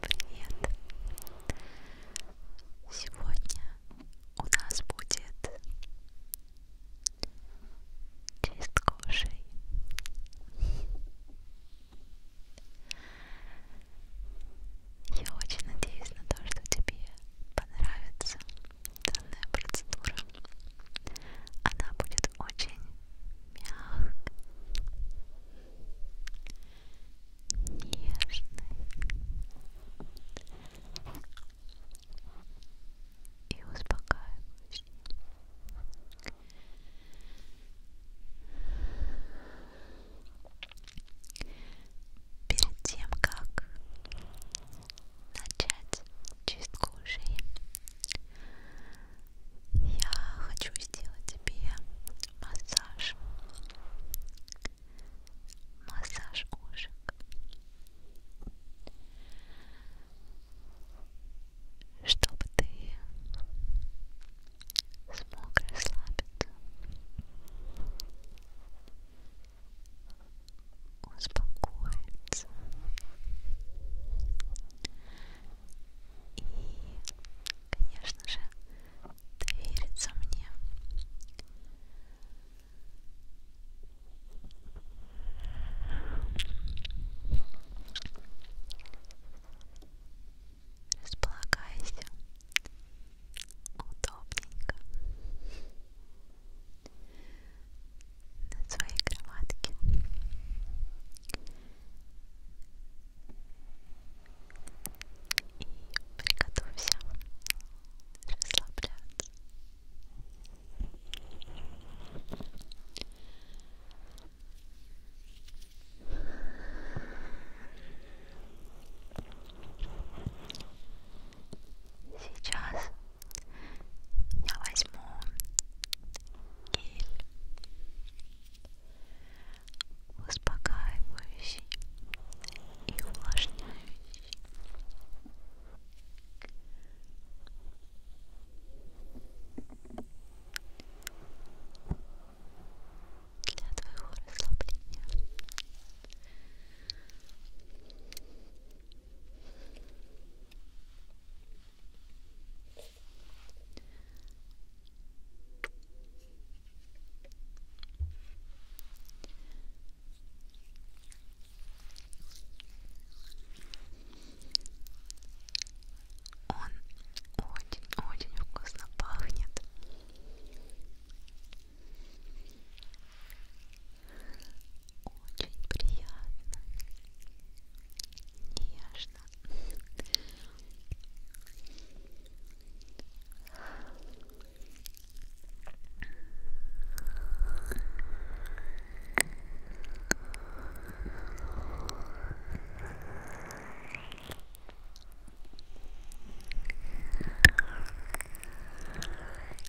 Привет! Сегодня у нас будет чист кожей. Я очень надеюсь на то, что тебе понравится данная процедура. Она будет очень мягкий, нежный и успокаивающий. Перед тем, как начать чистку ушей, я хочу сделать тебе массаж. Массаж ушек. Чтобы ты смог расслабиться, успокоиться и, конечно же, довериться мне. Располагайся удобненько на своей кроватке. И приготовься расслабляться. Сейчас я возьму гель успокаивающий и увлажняющий. Для твоего расслабления. Хорошо. Он очень-очень вкусно пахнет очень приятно, нежно.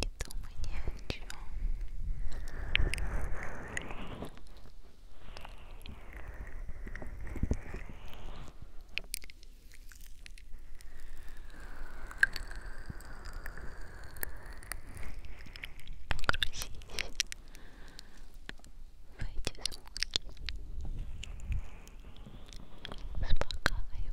Не думай ни о чем. Грузись в эти звуки. Успокаивай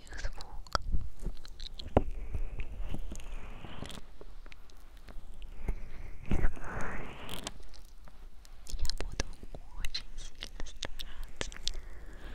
таких звуков. Я буду очень сильно стараться. Ой,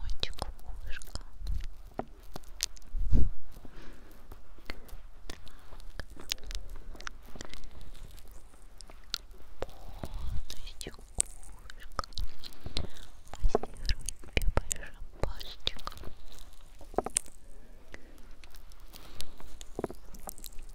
Мочку ушка. Полностью ушко. Массируем тебе большим пальчиком. Массируем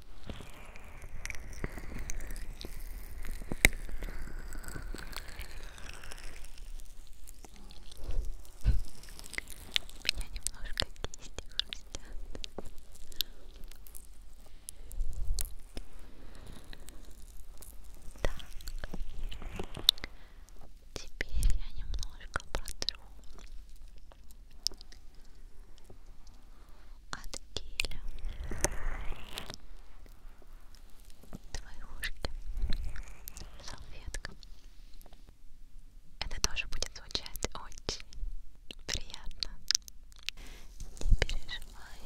меня немножко кисти хрустят. Так, теперь я немножко протру от геля твои ушки салфетка это тоже будет звучать очень приятно не переживай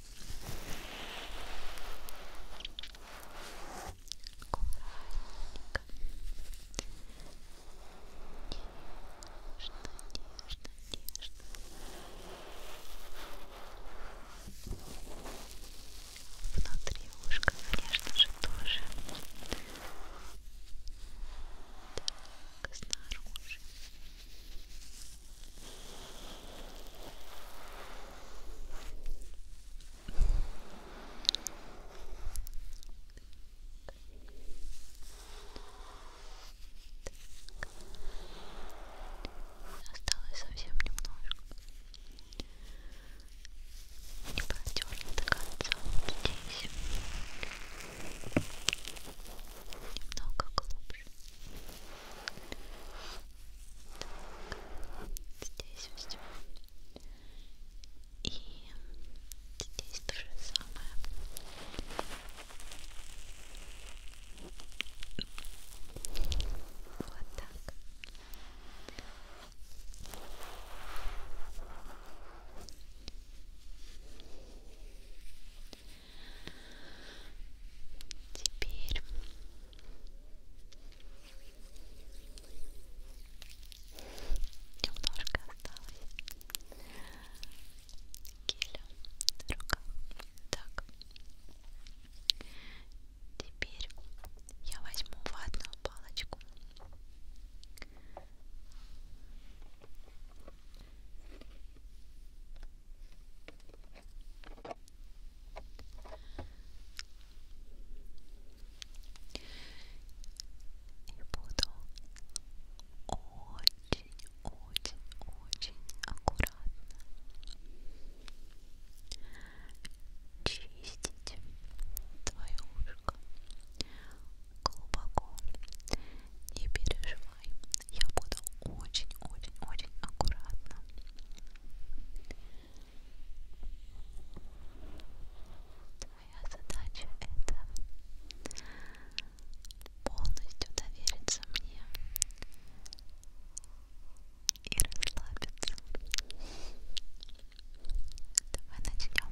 Аккуратненько. Нежно, нежно, нежно. Внутри ушка, конечно же, тоже. Так, снаружи. Так. Осталось совсем немножко. Не протерли до конца вот здесь. Немного глубже глубже. Так, здесь все. И здесь то же самое. Вот так. Здесь Теперь немножко осталось геля рука. Так. Теперь я возьму ватную палочку и буду очень-очень-очень аккуратно чистить твое ушко глубоко. Не переживай, я буду очень-очень-очень аккуратна. Твоя задача это полностью довериться мне и расслабиться. Давай начнем.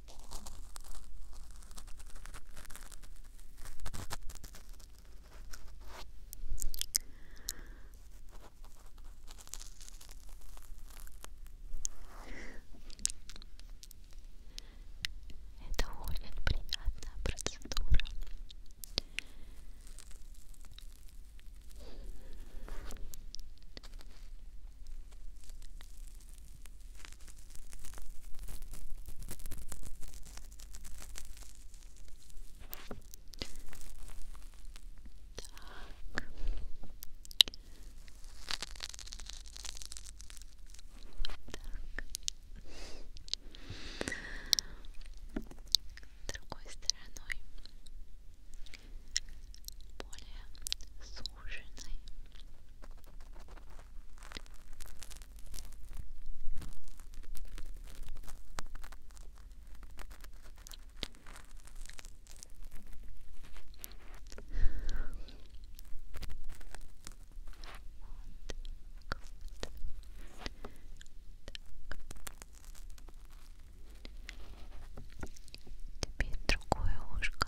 Это очень приятная процедура другой стороной более сухой ужинаем. Теперь другое ушко. Ушко.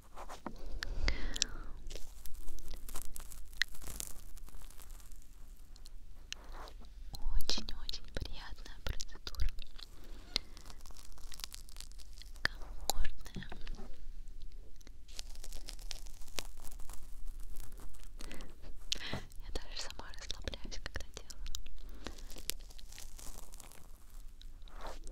Очень-очень приятная процедура. Комфортная. Я даже сама расслабляюсь, когда делаю. Очень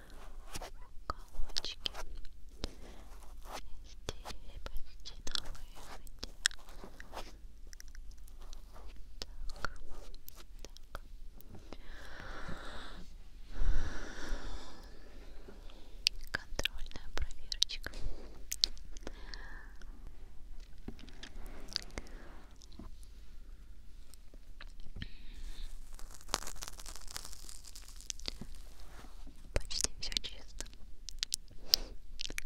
уголочки здесь почти на выходе так, так контрольная проверочка Почти все чисто. Вот так.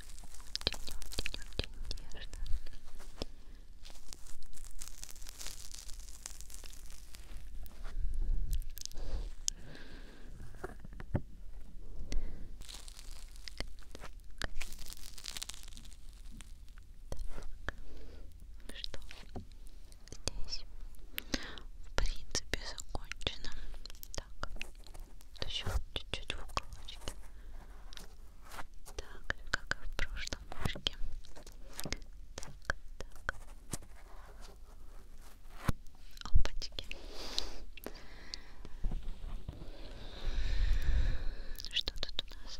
очень-очень-очень нежно. Так. Что? Здесь в принципе закончено. Так еще чуть-чуть в уголочке так же как и в прошлом ушке так так опачки что тут у нас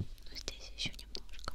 ну, здесь еще немножко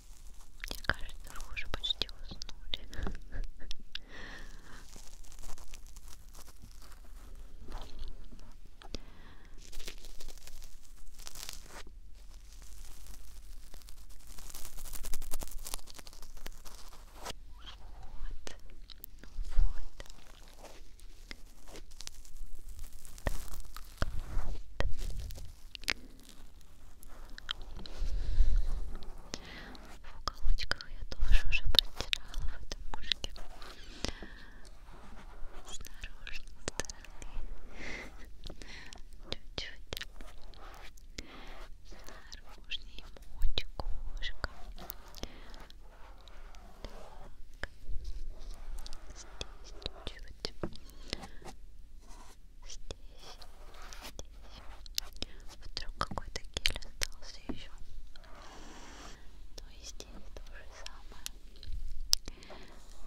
Мне кажется, вы уже почти уснули. Вот, ну вот. Так, вот. В уголочках я тоже уже подтирала в этом ушке. Снаружи, со стороны. Чуть-чуть. Снаружи мочь кошка. Так. Здесь чуть-чуть здесь, здесь. Вдруг какой-то гель остался еще. Ну и здесь то же самое.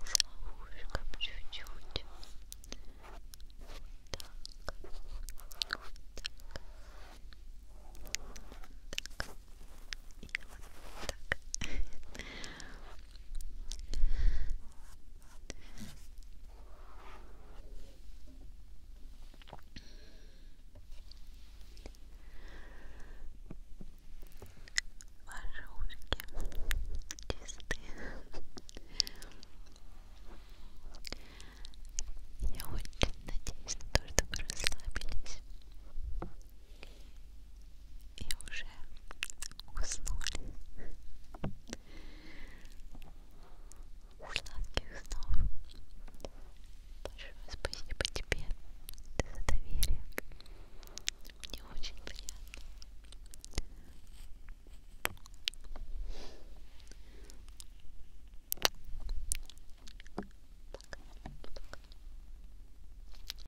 С ловушком чуть-чуть. Вот так. Вот так. Так. И вот так. Ваши ушки чистые. Я очень надеюсь на то, что вы расслабились и уже уснули. Сладких снов. Большое спасибо тебе за доверие. Мне очень приятно. Пока, пока.